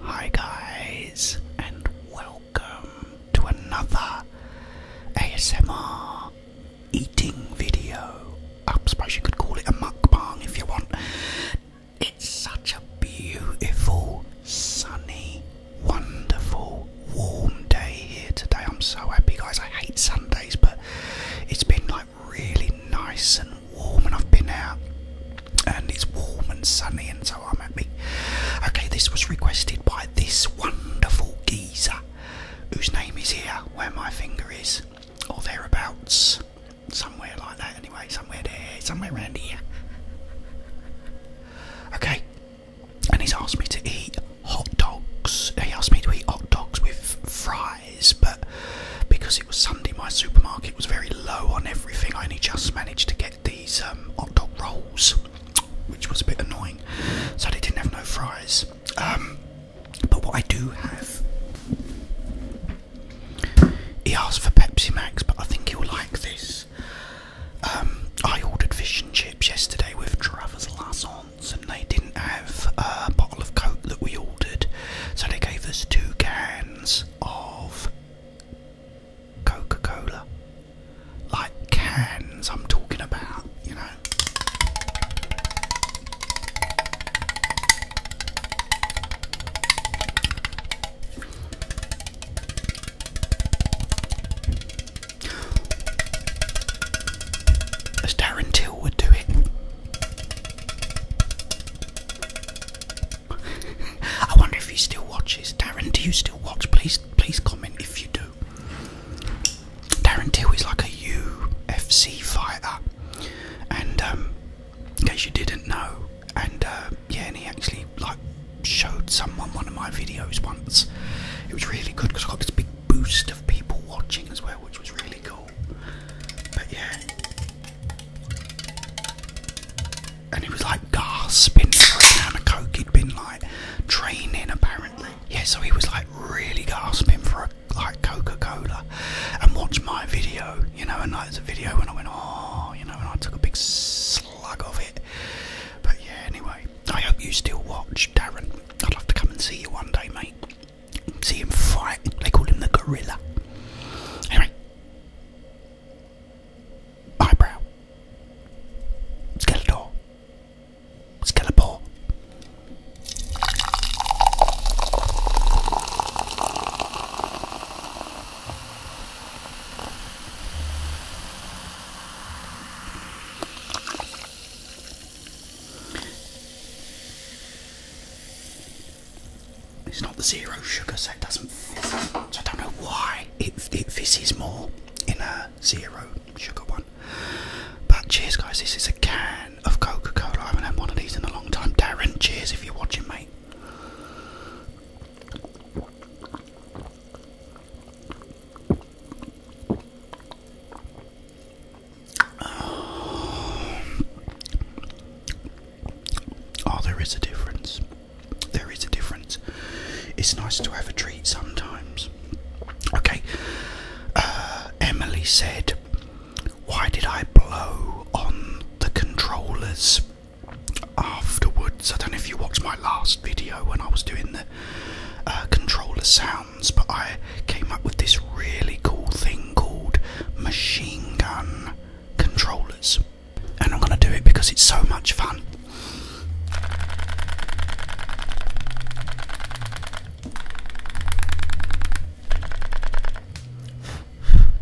Hi, guys, and welcome to another ASMR eating video. I um, suppose you could call it a mukbang if you want. It's such a beautiful, sunny, wonderful, warm day here today. I'm so happy, guys. I hate Sundays, but it's been like really nice and warm and I've been out and it's warm and sunny and so I'm at me. Okay, this was requested by this wonderful geezer whose name is here where my finger is or thereabouts. Somewhere like that anyway, somewhere there, somewhere around here. Okay. And he's asked me to eat hot dogs. He asked me to eat hot dogs with fries but because it was Sunday, my supermarket was very low on everything. I only just managed to get these um, hot dog rolls, which was a bit annoying. So they didn't have no fries. Um, but what I do have, he asked for Pepsi Max, but I think he'll like this. Um, I ordered fish and chips yesterday with Travers Lassons, and they didn't have a bottle of Coke that we ordered, so they gave us two cans of Coca Cola. Like cans, I'm talking about, you know. As Darren Till would do it, I wonder if he still watches. Darren, do you still watch? Please, please comment if you do. Darren too is like a UFC fighter, and um, in case you didn't know, and uh, yeah, and he actually like showed someone one of my videos once. It was really good because I got this big boost of people watching as well, which was really cool. But yeah. And he was like gasping for a coke. He'd been like training apparently. Yeah, so he was like really gasping for a like Coca-Cola. And watch my video, you know, and like there's video when I went, oh, you know, and I took a big slug of it. But yeah, anyway, I hope you still watch, Darren. I'd love to come and see you one day, mate see him fight. They call him the gorilla. Anyway, eyebrow, Skeletor, Skelepore. It's not the zero sugar, so it doesn't fizz. So I don't know why it, it fizzes more in a zero sugar one. But cheers, guys. This is a can of Coca Cola. I haven't had one of these in a long time. Darren, cheers if you're watching, mate. Um, oh, there is a difference. There is a difference. It's nice to have a treat sometimes. Okay. Uh, Emily said, Why did I blow on the controllers afterwards? I don't know if you watched my last video when I was doing the uh, controller sound but I came up with this really cool thing called machine gun controllers. And I'm going to do it because it's so much fun.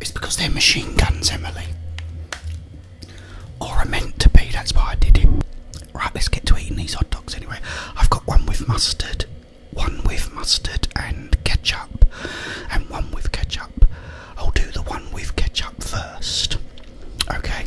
It's because they're machine guns, Emily. Or are meant to be, that's why I did it. Right, let's get to eating these hot dogs anyway. I've got one with mustard, one with mustard and ketchup, and one with ketchup. I'll do the one with ketchup first. Okay.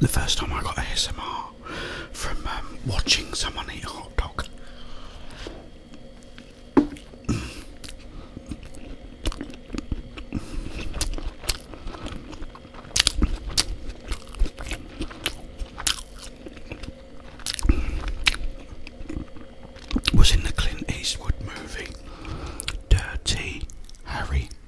the first time I got ASMR from um, watching someone eat a hot dog. Was in the Clint Eastwood movie Dirty Harry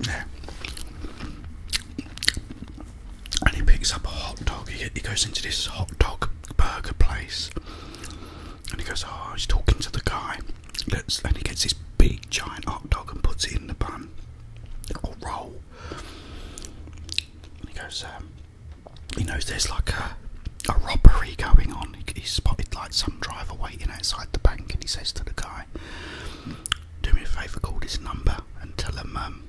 Yeah. And he picks up a hot dog. He, goes into this hot dog burger place, and he goes, "Oh, he's talking to the guy." Let's, and he gets this big giant hot dog and puts it in the bun or roll. he goes, um, he knows there's like a a robbery going on. he's spotted like some driver waiting outside the bank, and he says to the guy, do me a favour, call this number and tell them um,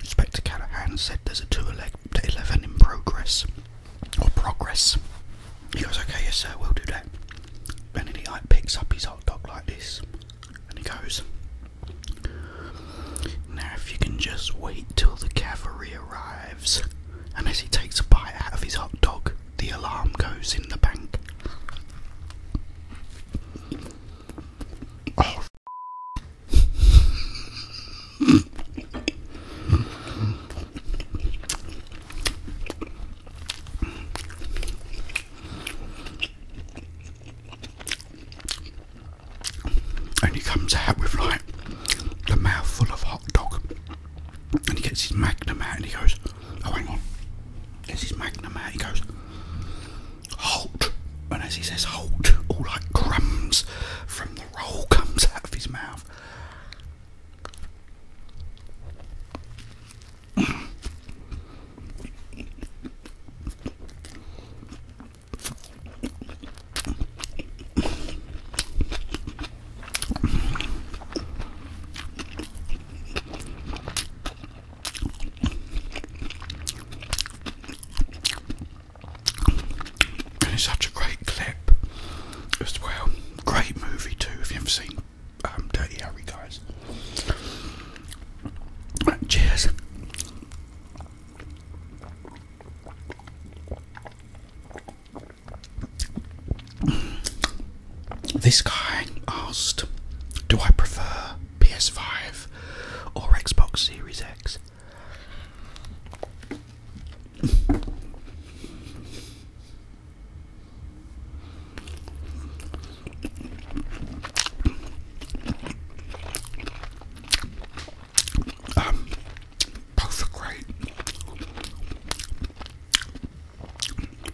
Inspector Callahan said there's a 2 11 in progress. Or progress. He goes, okay, yes, sir, we'll do that. And then he like, picks up his hot dog like this and he goes, now if you can just wait till the cavalry arrives. And as he takes a bite out of his hot dog, the alarm goes in the bank. Oh. And he comes out with like a mouthful of hot dog and he gets his magnum out and he goes, Oh, hang on. Gets his magnum out, he goes, Halt! And as he says halt, all like crumbs from the roll comes out of his mouth. And it's such a great clip as well. Great movie too. If you've seen um, Dirty Harry, guys. Cheers. This guy asked, "Do I prefer PS5 or Xbox Series X?" Um, both are great.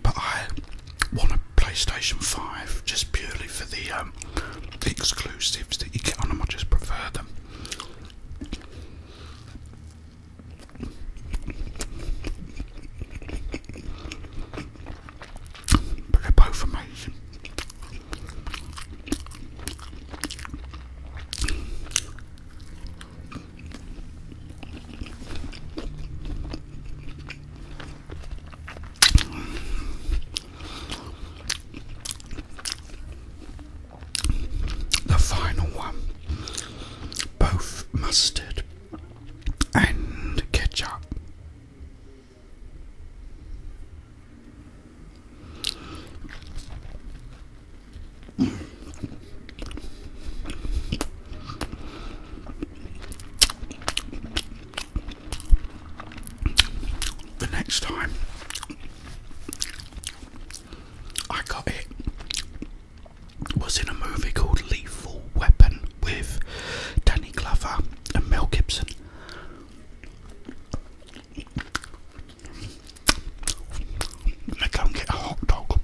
But I want a PlayStation 5 just purely for the, um, exclusives that you get on them. I just prefer them. But they're both amazing. The final one, both mustard and ketchup. The next time I got it was in a movie called Lethal Weapon with Danny Glover and Mel Gibson. I go and get a hot dog.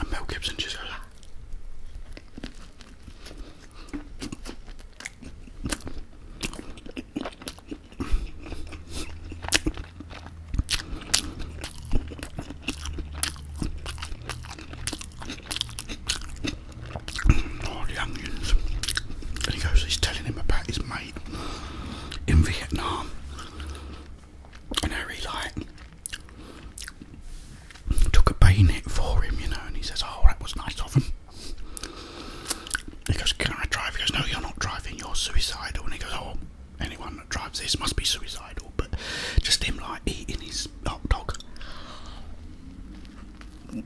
And Mel Gibson just oh, the onions. And he goes, he's telling him about his mate in Vietnam. And Harry, like, took a bayonet for him, you know, and he says, oh, that was nice of him. He goes, can I drive? He goes, no, you're not driving, you're suicidal. And he goes, oh, anyone that drives this must be suicidal. But just him, like, eating his hot dog. You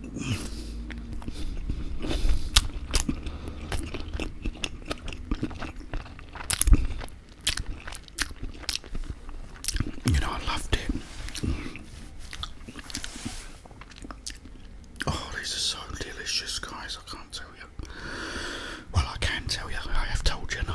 know, I loved it. Oh, these are so delicious, guys. I can't tell you. Well, I can tell you. I have told you, no.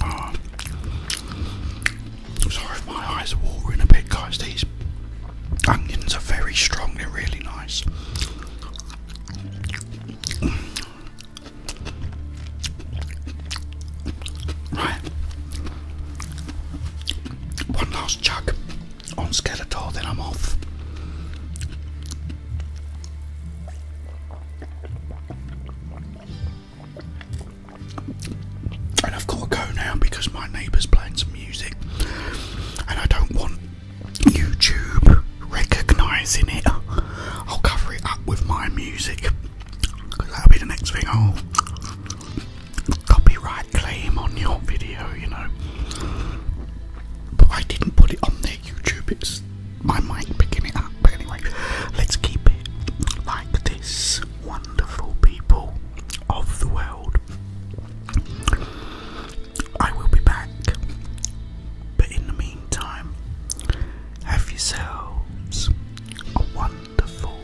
Ah. sorry my eyes are watering a bit, guys. These onions are very strong, they're really nice. Right, one last chuck on Skeletor, then I'm off. And I've got to go now because my neighbour's playing some music, and I don't want YouTube recognising it. I'll cover it up with my music because that'll be the next thing i oh copyright claim on your video, you know. But I didn't put it on their YouTube, it's my mic picking it up. But anyway, let's keep it like this, wonderful people of the world. I will be back, but in the meantime, have yourselves a wonderful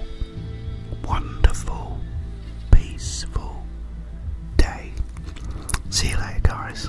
wonderful, peaceful day. See you later, guys.